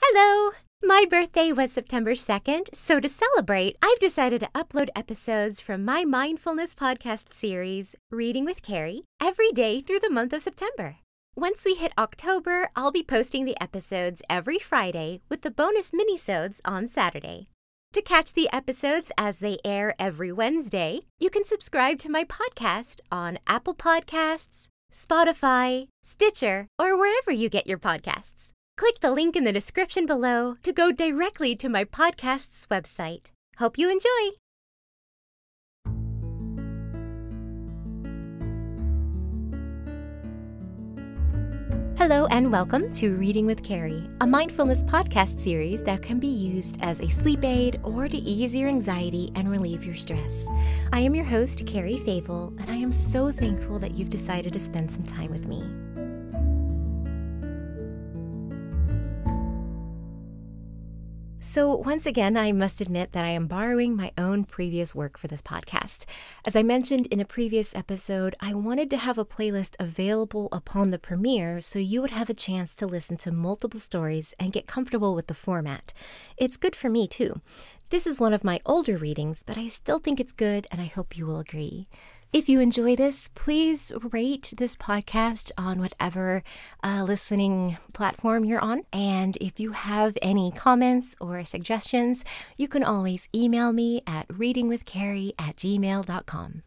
Hello! My birthday was September 2nd, so to celebrate, I've decided to upload episodes from my mindfulness podcast series, Reading with Carrie, every day through the month of September. Once we hit October, I'll be posting the episodes every Friday with the bonus minisodes on Saturday. To catch the episodes as they air every Wednesday, you can subscribe to my podcast on Apple Podcasts, Spotify, Stitcher, or wherever you get your podcasts. Click the link in the description below to go directly to my podcast's website. Hope you enjoy! Hello, and welcome to Reading with Carrie, a mindfulness podcast series that can be used as a sleep aid or to ease your anxiety and relieve your stress. I am your host, Carrie Favel and I am so thankful that you've decided to spend some time with me. So, once again, I must admit that I am borrowing my own previous work for this podcast. As I mentioned in a previous episode, I wanted to have a playlist available upon the premiere so you would have a chance to listen to multiple stories and get comfortable with the format. It's good for me, too. This is one of my older readings, but I still think it's good and I hope you will agree. If you enjoy this, please rate this podcast on whatever uh, listening platform you're on. And if you have any comments or suggestions, you can always email me at readingwithcarrie at gmail.com.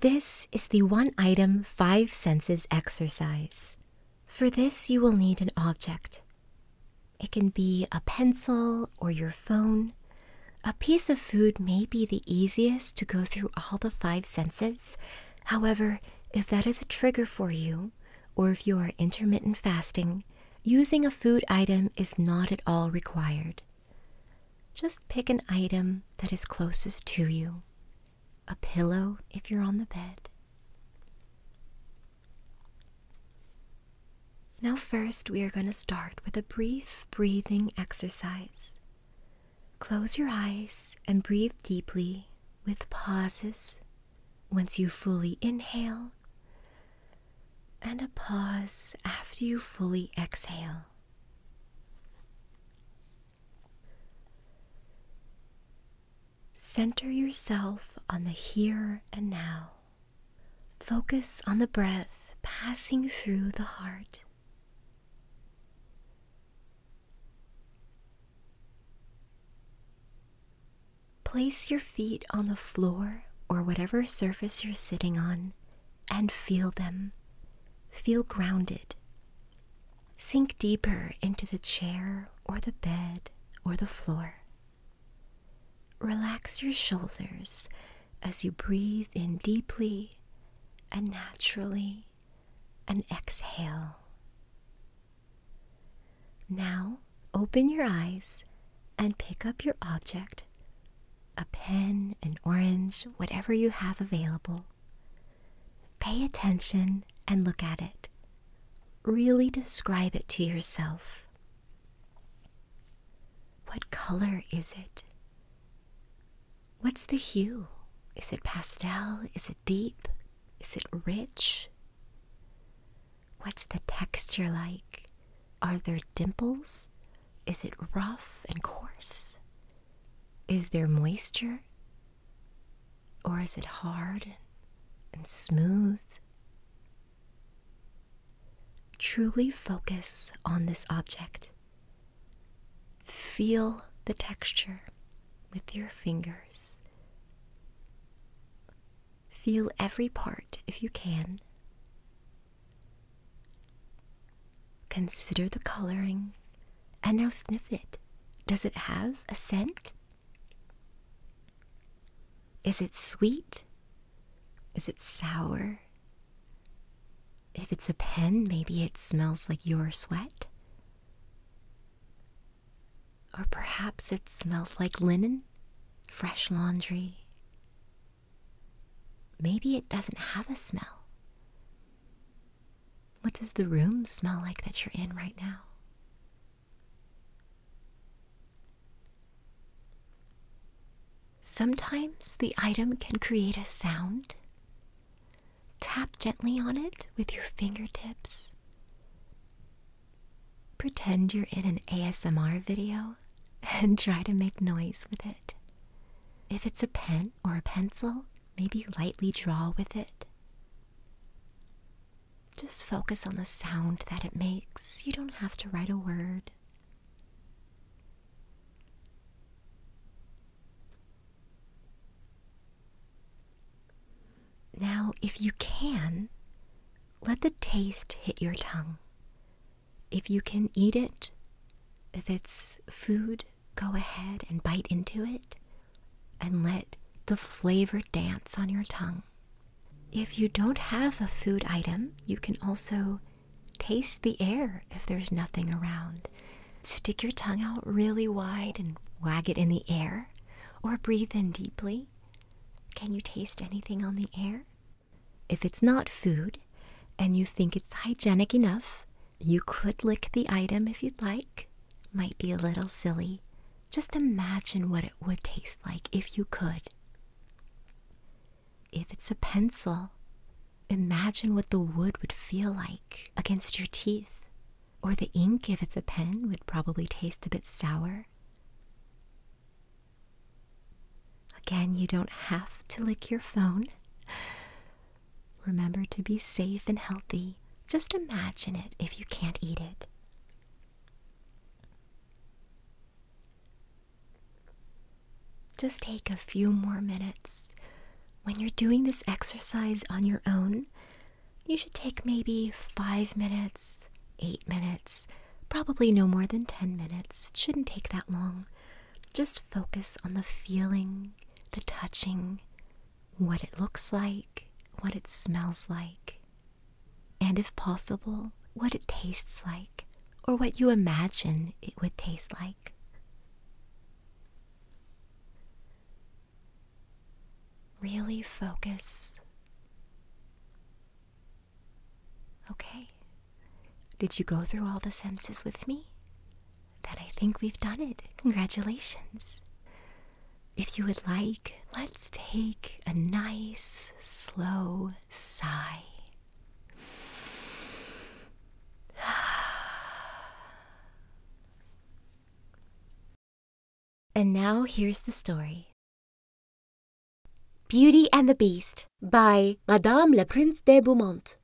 This is the one item five senses exercise. For this, you will need an object. It can be a pencil or your phone. A piece of food may be the easiest to go through all the five senses. However, if that is a trigger for you, or if you are intermittent fasting, using a food item is not at all required. Just pick an item that is closest to you a pillow if you're on the bed. Now, first, we are going to start with a brief breathing exercise. Close your eyes and breathe deeply with pauses once you fully inhale and a pause after you fully exhale. Center yourself on the here and now. Focus on the breath passing through the heart. Place your feet on the floor or whatever surface you're sitting on and feel them. Feel grounded. Sink deeper into the chair or the bed or the floor. Relax your shoulders as you breathe in deeply and naturally and exhale. Now open your eyes and pick up your object a pen, an orange, whatever you have available. Pay attention and look at it Really describe it to yourself. What color is it? What's the hue? Is it pastel? Is it deep? Is it rich? What's the texture like? Are there dimples? Is it rough and coarse? Is there moisture? Or is it hard and smooth? Truly focus on this object. Feel the texture with your fingers. Feel every part if you can. Consider the coloring and now sniff it. Does it have a scent? Is it sweet? Is it sour? If it's a pen, maybe it smells like your sweat. Or perhaps it smells like linen, fresh laundry. Maybe it doesn't have a smell. What does the room smell like that you're in right now? Sometimes the item can create a sound. Tap gently on it with your fingertips. Pretend you're in an ASMR video and try to make noise with it. If it's a pen or a pencil, maybe lightly draw with it. Just focus on the sound that it makes. You don't have to write a word. Now, if you can, let the taste hit your tongue. If you can eat it, if it's food, go ahead and bite into it and let the flavor dance on your tongue. If you don't have a food item, you can also taste the air if there's nothing around. Stick your tongue out really wide and wag it in the air, or breathe in deeply. Can you taste anything on the air? If it's not food and you think it's hygienic enough, you could lick the item if you'd like. Might be a little silly, just imagine what it would taste like if you could. If it's a pencil, imagine what the wood would feel like against your teeth. Or the ink, if it's a pen, would probably taste a bit sour. Again, you don't have to lick your phone. Remember to be safe and healthy. Just imagine it if you can't eat it. Just take a few more minutes. When you're doing this exercise on your own, you should take maybe five minutes, eight minutes, probably no more than 10 minutes. It shouldn't take that long. Just focus on the feeling, the touching, what it looks like, what it smells like, and if possible, what it tastes like or what you imagine it would taste like. Really focus. Okay. Did you go through all the senses with me? That I think we've done it. Congratulations. If you would like, let's take a nice, slow sigh. And now here's the story Beauty and the Beast by Madame Le Prince de Beaumont.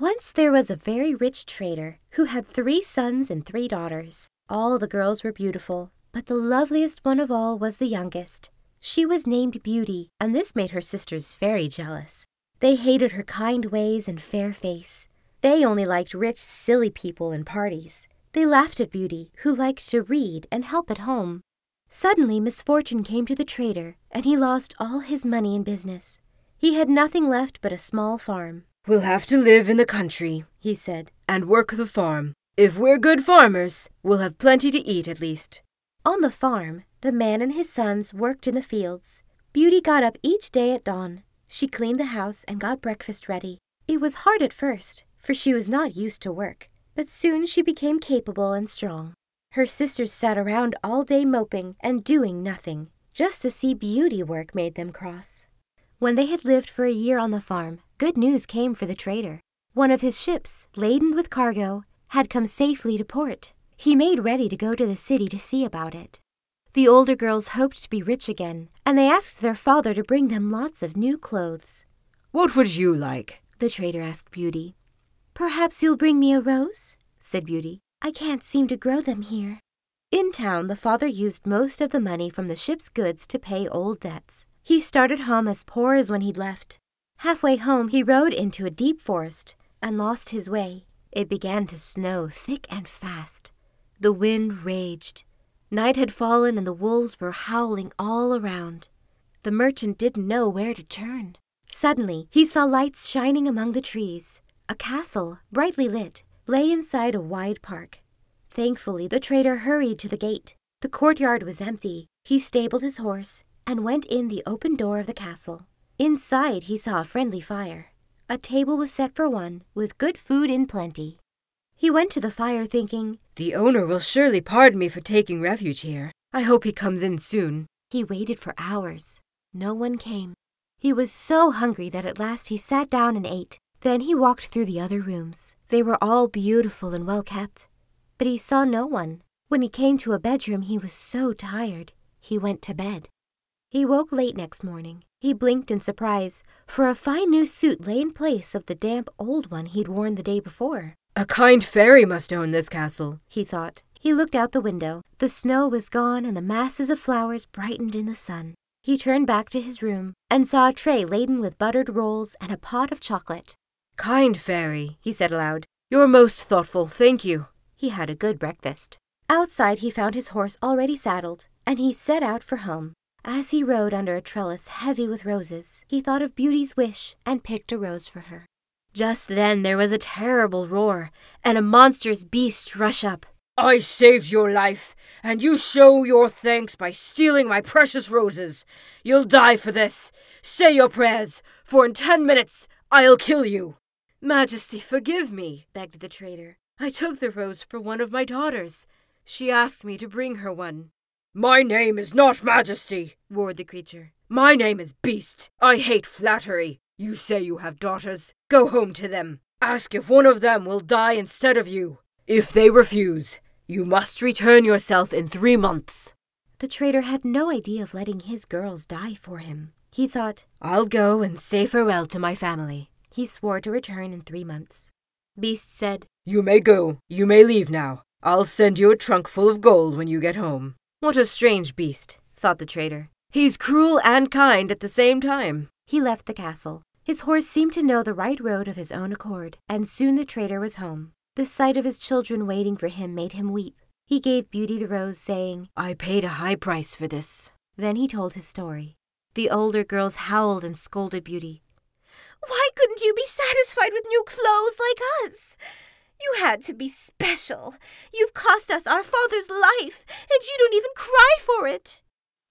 Once there was a very rich trader who had three sons and three daughters. All the girls were beautiful, but the loveliest one of all was the youngest. She was named Beauty, and this made her sisters very jealous. They hated her kind ways and fair face. They only liked rich, silly people and parties. They laughed at Beauty, who liked to read and help at home. Suddenly misfortune came to the trader, and he lost all his money in business. He had nothing left but a small farm. We'll have to live in the country, he said, and work the farm. If we're good farmers, we'll have plenty to eat at least. On the farm, the man and his sons worked in the fields. Beauty got up each day at dawn. She cleaned the house and got breakfast ready. It was hard at first, for she was not used to work, but soon she became capable and strong. Her sisters sat around all day moping and doing nothing, just to see beauty work made them cross. When they had lived for a year on the farm, good news came for the trader one of his ships, laden with cargo, had come safely to port. He made ready to go to the city to see about it. The older girls hoped to be rich again, and they asked their father to bring them lots of new clothes. What would you like? the trader asked Beauty. Perhaps you'll bring me a rose, said Beauty. I can't seem to grow them here. In town, the father used most of the money from the ship's goods to pay old debts he started home as poor as when he'd left. Halfway home, he rode into a deep forest and lost his way. It began to snow thick and fast. The wind raged. Night had fallen and the wolves were howling all around. The merchant didn't know where to turn. Suddenly, he saw lights shining among the trees. A castle, brightly lit, lay inside a wide park. Thankfully, the trader hurried to the gate. The courtyard was empty. He stabled his horse and went in the open door of the castle. Inside, he saw a friendly fire. A table was set for one, with good food in plenty. He went to the fire thinking, The owner will surely pardon me for taking refuge here. I hope he comes in soon. He waited for hours. No one came. He was so hungry that at last he sat down and ate. Then he walked through the other rooms. They were all beautiful and well kept but he saw no one. When he came to a bedroom, he was so tired, he went to bed. He woke late next morning. He blinked in surprise, for a fine new suit lay in place of the damp old one he'd worn the day before. A kind fairy must own this castle, he thought. He looked out the window. The snow was gone and the masses of flowers brightened in the sun. He turned back to his room and saw a tray laden with buttered rolls and a pot of chocolate. Kind fairy, he said aloud. You're most thoughtful, thank you. He had a good breakfast. Outside he found his horse already saddled, and he set out for home. As he rode under a trellis heavy with roses, he thought of Beauty's wish and picked a rose for her. Just then there was a terrible roar, and a monstrous beast rushed up. I saved your life, and you show your thanks by stealing my precious roses. You'll die for this. Say your prayers, for in ten minutes I'll kill you. Majesty, forgive me, begged the traitor. I took the rose for one of my daughters. She asked me to bring her one. My name is not Majesty, roared the creature. My name is Beast. I hate flattery. You say you have daughters. Go home to them. Ask if one of them will die instead of you. If they refuse, you must return yourself in three months. The trader had no idea of letting his girls die for him. He thought, I'll go and say farewell to my family. He swore to return in three months. Beast said, You may go. You may leave now. I'll send you a trunk full of gold when you get home. What a strange beast, thought the trader. He's cruel and kind at the same time. He left the castle. His horse seemed to know the right road of his own accord, and soon the trader was home. The sight of his children waiting for him made him weep. He gave Beauty the rose, saying, I paid a high price for this. Then he told his story. The older girls howled and scolded Beauty. Why couldn't you be satisfied with new clothes like us? You had to be special. You've cost us our father's life, and you don't even cry for it.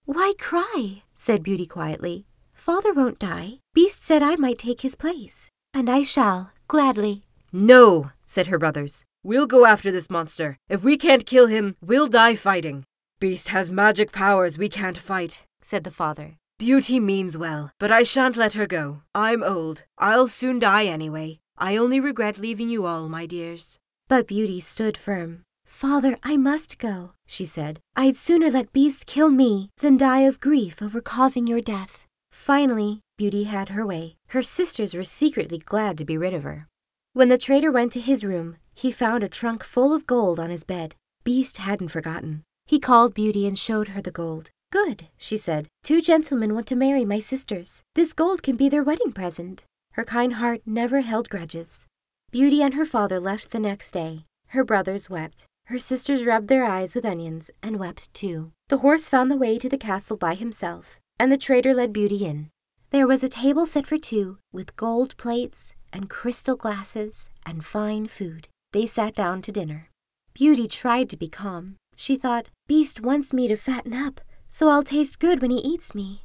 Why cry? said Beauty quietly. Father won't die. Beast said I might take his place, and I shall, gladly. No, said her brothers. We'll go after this monster. If we can't kill him, we'll die fighting. Beast has magic powers we can't fight, said the father. Beauty means well, but I shan't let her go. I'm old. I'll soon die anyway. I only regret leaving you all, my dears. But Beauty stood firm. Father, I must go, she said. I'd sooner let beasts kill me than die of grief over causing your death. Finally, Beauty had her way. Her sisters were secretly glad to be rid of her. When the trader went to his room, he found a trunk full of gold on his bed. Beast hadn't forgotten. He called Beauty and showed her the gold. Good, she said. Two gentlemen want to marry my sisters. This gold can be their wedding present. Her kind heart never held grudges. Beauty and her father left the next day. Her brothers wept. Her sisters rubbed their eyes with onions and wept too. The horse found the way to the castle by himself, and the trader led Beauty in. There was a table set for two, with gold plates and crystal glasses and fine food. They sat down to dinner. Beauty tried to be calm. She thought, Beast wants me to fatten up, so I'll taste good when he eats me.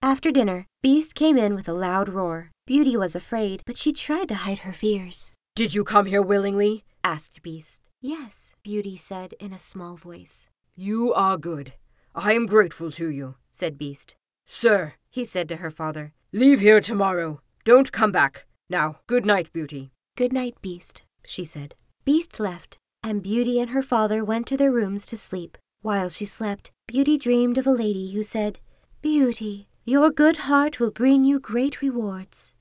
After dinner, Beast came in with a loud roar. Beauty was afraid, but she tried to hide her fears. Did you come here willingly? asked Beast. Yes, Beauty said in a small voice. You are good. I am grateful to you, said Beast. Sir, he said to her father, leave here tomorrow. Don't come back. Now, good night, Beauty. Good night, Beast, she said. Beast left, and Beauty and her father went to their rooms to sleep. While she slept, Beauty dreamed of a lady who said, Beauty, your good heart will bring you great rewards.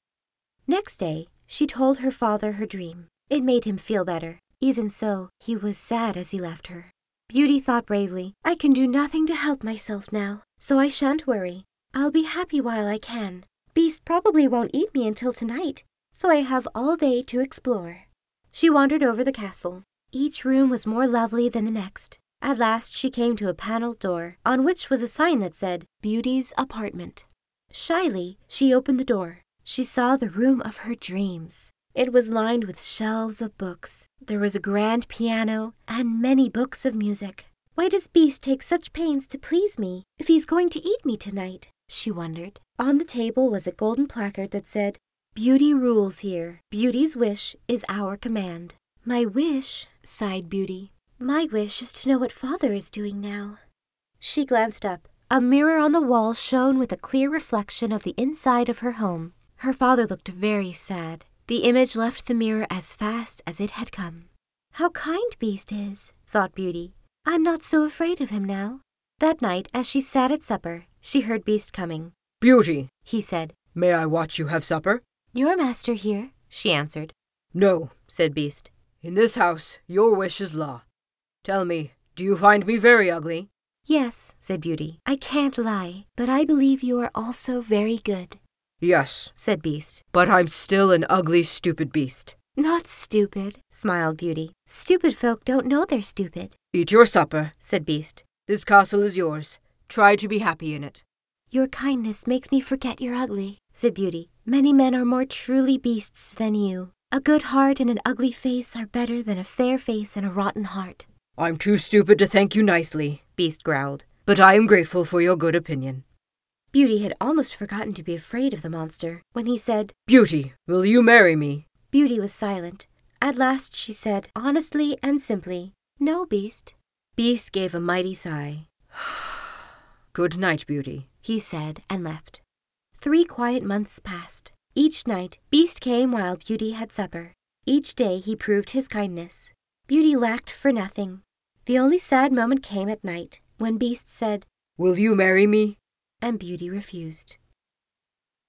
Next day, she told her father her dream. It made him feel better. Even so, he was sad as he left her. Beauty thought bravely, I can do nothing to help myself now, so I shan't worry. I'll be happy while I can. Beast probably won't eat me until tonight, so I have all day to explore. She wandered over the castle. Each room was more lovely than the next. At last she came to a panelled door, on which was a sign that said, Beauty's Apartment. Shyly, she opened the door. She saw the room of her dreams. It was lined with shelves of books. There was a grand piano and many books of music. Why does Beast take such pains to please me if he's going to eat me tonight? she wondered. On the table was a golden placard that said, Beauty rules here. Beauty's wish is our command. My wish, sighed Beauty, my wish is to know what Father is doing now. She glanced up. A mirror on the wall shone with a clear reflection of the inside of her home. Her father looked very sad. The image left the mirror as fast as it had come. How kind Beast is, thought Beauty. I'm not so afraid of him now. That night, as she sat at supper, she heard Beast coming. Beauty, he said. May I watch you have supper? Your master here, she answered. No, said Beast. In this house, your wish is law. Tell me, do you find me very ugly? Yes, said Beauty. I can't lie, but I believe you are also very good. Yes, said Beast. But I'm still an ugly, stupid beast. Not stupid, smiled Beauty. Stupid folk don't know they're stupid. Eat your supper, said Beast. This castle is yours. Try to be happy in it. Your kindness makes me forget you're ugly, said Beauty. Many men are more truly beasts than you. A good heart and an ugly face are better than a fair face and a rotten heart. I'm too stupid to thank you nicely, Beast growled, but I am grateful for your good opinion. Beauty had almost forgotten to be afraid of the monster when he said, Beauty, will you marry me? Beauty was silent. At last she said, honestly and simply, No, Beast, Beast gave a mighty sigh. Good night, Beauty, he said, and left. Three quiet months passed. Each night, Beast came while Beauty had supper. Each day he proved his kindness. Beauty lacked for nothing. The only sad moment came at night, when Beast said, Will you marry me? And Beauty refused.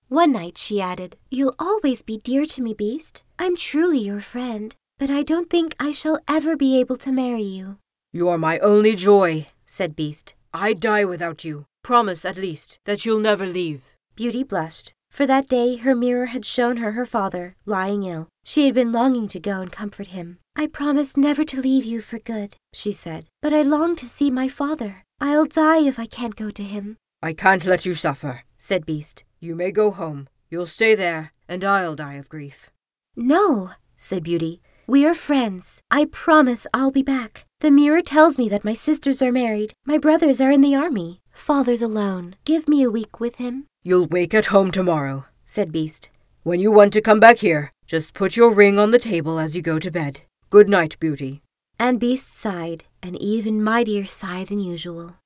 One night she added, You'll always be dear to me, Beast. I'm truly your friend but I don't think I shall ever be able to marry you. You are my only joy, said Beast. I'd die without you. Promise, at least, that you'll never leave. Beauty blushed, for that day her mirror had shown her her father, lying ill. She had been longing to go and comfort him. I promise never to leave you for good, she said, but I long to see my father. I'll die if I can't go to him. I can't let you suffer, said Beast. You may go home. You'll stay there, and I'll die of grief. No, said Beauty. We are friends. I promise I'll be back. The mirror tells me that my sisters are married, my brothers are in the army, father's alone. Give me a week with him. You'll wake at home tomorrow, said Beast. When you want to come back here, just put your ring on the table as you go to bed. Good night, Beauty. And Beast sighed, an even mightier sigh than usual.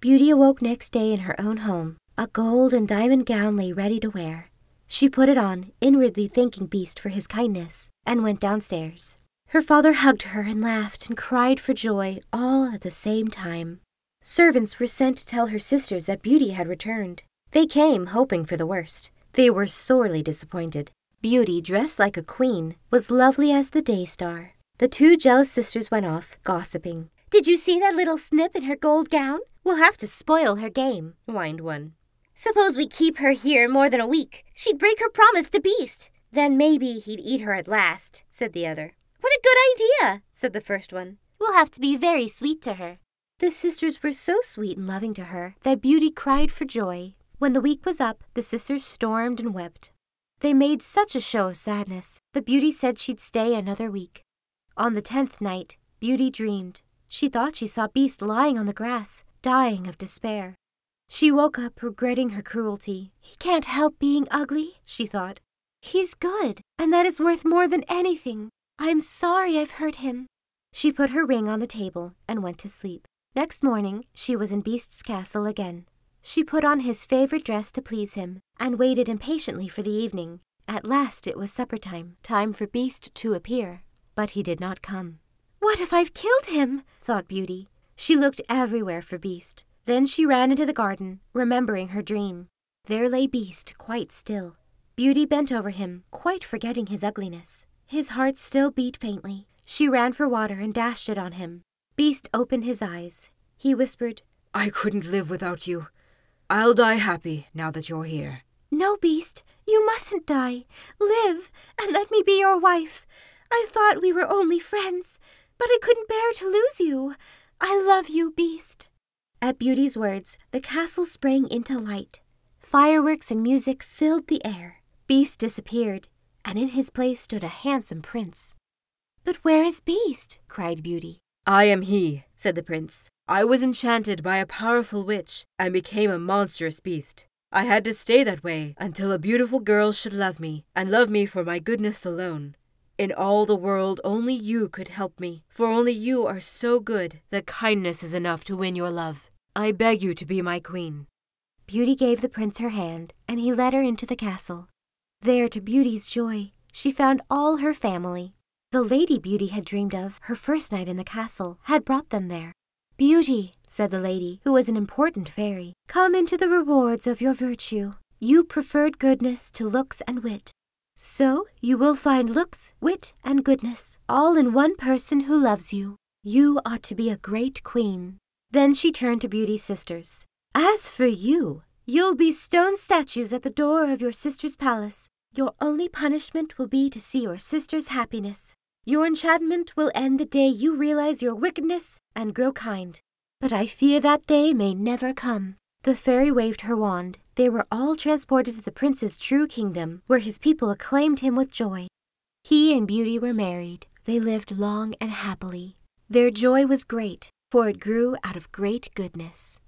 Beauty awoke next day in her own home, a gold and diamond gown lay ready to wear. She put it on, inwardly thanking Beast for his kindness, and went downstairs. Her father hugged her and laughed and cried for joy all at the same time. Servants were sent to tell her sisters that Beauty had returned. They came, hoping for the worst. They were sorely disappointed. Beauty, dressed like a queen, was lovely as the day star. The two jealous sisters went off, gossiping. Did you see that little snip in her gold gown? We'll have to spoil her game, whined one. Suppose we keep her here more than a week. She'd break her promise to Beast. Then maybe he'd eat her at last, said the other. What a good idea, said the first one. We'll have to be very sweet to her. The sisters were so sweet and loving to her that Beauty cried for joy. When the week was up, the sisters stormed and wept. They made such a show of sadness The Beauty said she'd stay another week. On the tenth night, Beauty dreamed. She thought she saw Beast lying on the grass, dying of despair. She woke up regretting her cruelty. He can't help being ugly, she thought. He's good, and that is worth more than anything. I'm sorry I've hurt him. She put her ring on the table and went to sleep. Next morning, she was in Beast's castle again. She put on his favorite dress to please him and waited impatiently for the evening. At last it was supper time, time for Beast to appear, but he did not come. What if I've killed him? thought Beauty. She looked everywhere for Beast. Then she ran into the garden, remembering her dream. There lay Beast, quite still. Beauty bent over him, quite forgetting his ugliness. His heart still beat faintly. She ran for water and dashed it on him. Beast opened his eyes. He whispered, I couldn't live without you. I'll die happy now that you're here. No, Beast, you mustn't die. Live, and let me be your wife. I thought we were only friends, but I couldn't bear to lose you. I love you, Beast. At Beauty's words, the castle sprang into light. Fireworks and music filled the air. Beast disappeared, and in his place stood a handsome prince. But where is Beast? cried Beauty. I am he, said the prince. I was enchanted by a powerful witch and became a monstrous beast. I had to stay that way until a beautiful girl should love me, and love me for my goodness alone. In all the world, only you could help me, for only you are so good that kindness is enough to win your love. I beg you to be my queen. Beauty gave the prince her hand, and he led her into the castle. There, to Beauty's joy, she found all her family, the lady Beauty had dreamed of her first night in the castle had brought them there. Beauty, said the lady, who was an important fairy, come into the rewards of your virtue. You preferred goodness to looks and wit. So you will find looks, wit, and goodness, all in one person who loves you. You ought to be a great queen. Then she turned to Beauty's sisters. As for you, you'll be stone statues at the door of your sister's palace, your only punishment will be to see your sister's happiness. Your enchantment will end the day you realize your wickedness and grow kind. But I fear that day may never come. The fairy waved her wand. They were all transported to the prince's true kingdom, where his people acclaimed him with joy. He and Beauty were married. They lived long and happily. Their joy was great for it grew out of great goodness.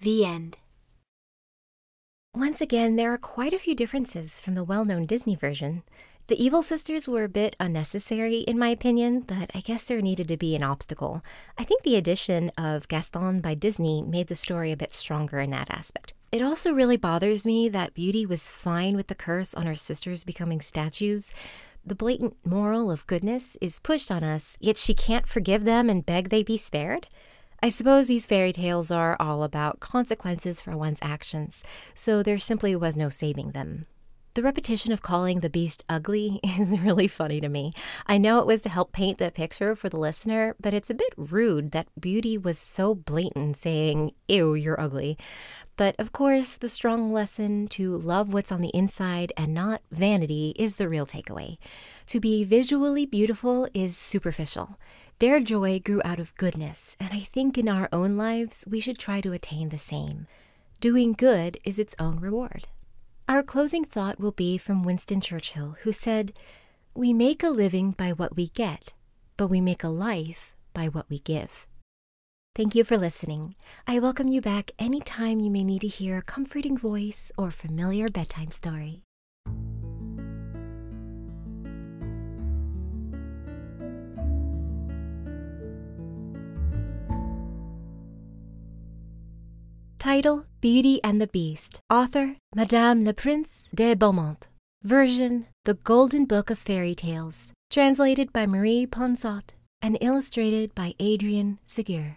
The end. Once again, there are quite a few differences from the well known Disney version. The Evil Sisters were a bit unnecessary, in my opinion, but I guess there needed to be an obstacle. I think the addition of Gaston by Disney made the story a bit stronger in that aspect. It also really bothers me that Beauty was fine with the curse on her sisters becoming statues. The blatant moral of goodness is pushed on us, yet she can't forgive them and beg they be spared? I suppose these fairy tales are all about consequences for one's actions, so there simply was no saving them. The repetition of calling the beast ugly is really funny to me. I know it was to help paint the picture for the listener, but it's a bit rude that Beauty was so blatant saying, Ew, you're ugly. But of course, the strong lesson to love what's on the inside and not vanity is the real takeaway. To be visually beautiful is superficial. Their joy grew out of goodness, and I think in our own lives we should try to attain the same. Doing good is its own reward. Our closing thought will be from Winston Churchill, who said, We make a living by what we get, but we make a life by what we give. Thank you for listening. I welcome you back anytime you may need to hear a comforting voice or familiar bedtime story. Title Beauty and the Beast. Author Madame Le Prince de Beaumont. Version The Golden Book of Fairy Tales. Translated by Marie Ponsot and illustrated by Adrian Segur.